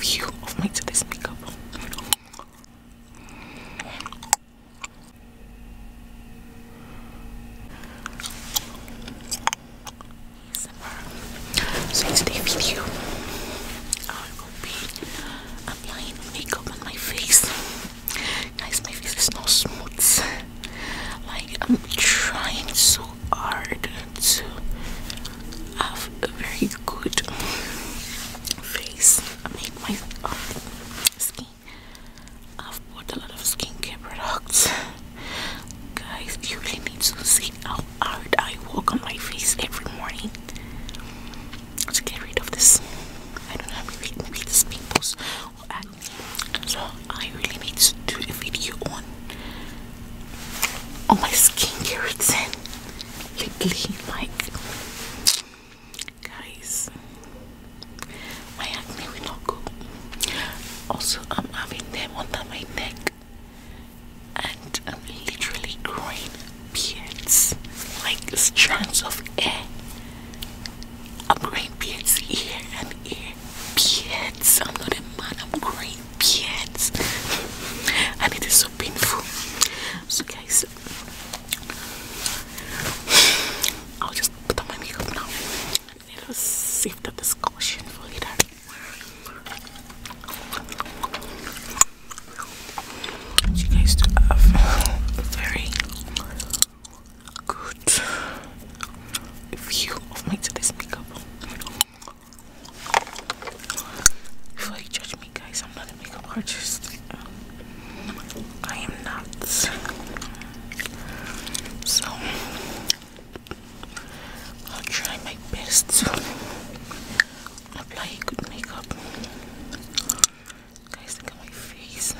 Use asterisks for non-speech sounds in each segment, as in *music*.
View of me to makeup. So in today's video, I will be applying makeup on my face. Guys, my face is not smooth. Like I'm trying so hard to have a very good face. I make my um, skin. I've bought a lot of skincare products Guys, you really need to see how hard I walk on my face every morning to get rid of this. I don't have to read, pimples or acne. So I really need to do a video on on my skincare routine. Lately, like guys, my acne will not go. Also, I'm having them under my neck and I'm um, literally growing beards, like strands of hair. I'm growing beards here and here. Beards. I'm not a man. I'm growing beards, *laughs* and it is so painful. So, guys, I'll just put on my makeup now. Little sift of the Scotian flavor. She tastes uh, very good view of me to makeup. Before you judge me, guys, I'm not a makeup artist. Um, I am not. So I'll try my best to apply good makeup. Guys, look at my face.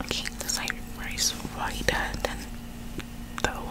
Okay, this like rice whiter than the one.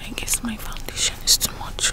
I guess my foundation is too much.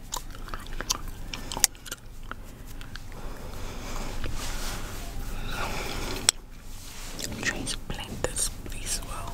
Transplant this please well.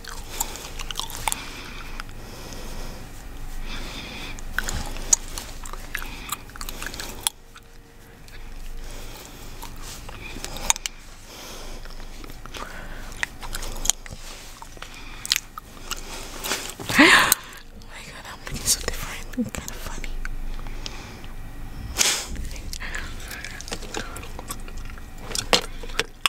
*gasps* Oh my god, I'm looking so different. It's kind of funny.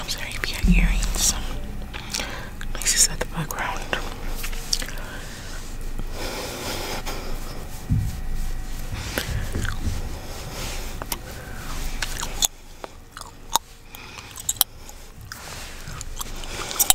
I'm sorry you hear earrings. This is at the background.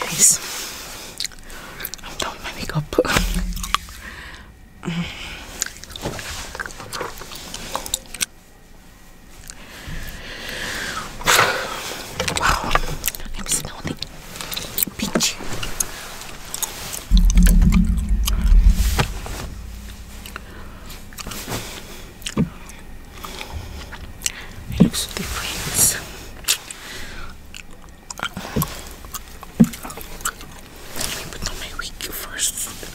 Guys, I'm done with my Wow, I'm smelling peachy. It looks different. Let me put on my wig first.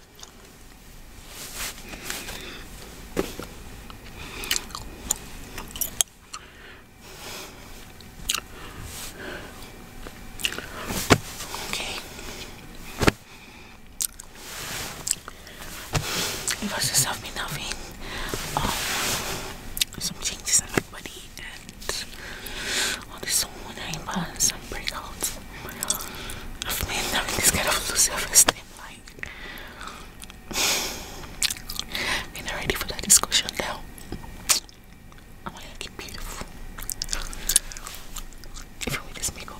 Okay. You just have loving um, some changes in my body Oh, this morning, but some breakouts. I've been having this kind of low self-esteem, like being *sighs* ready for that discussion now. I want you to keep beautiful. Even with this makeup.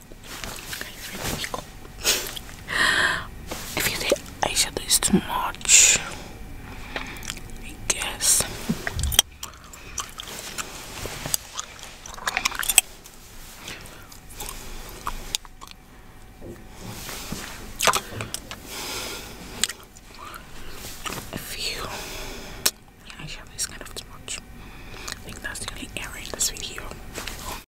if you think eyeshadow is too much, I guess. If you, yeah, eyeshadow is kind of too much. I think that's the only error in this video.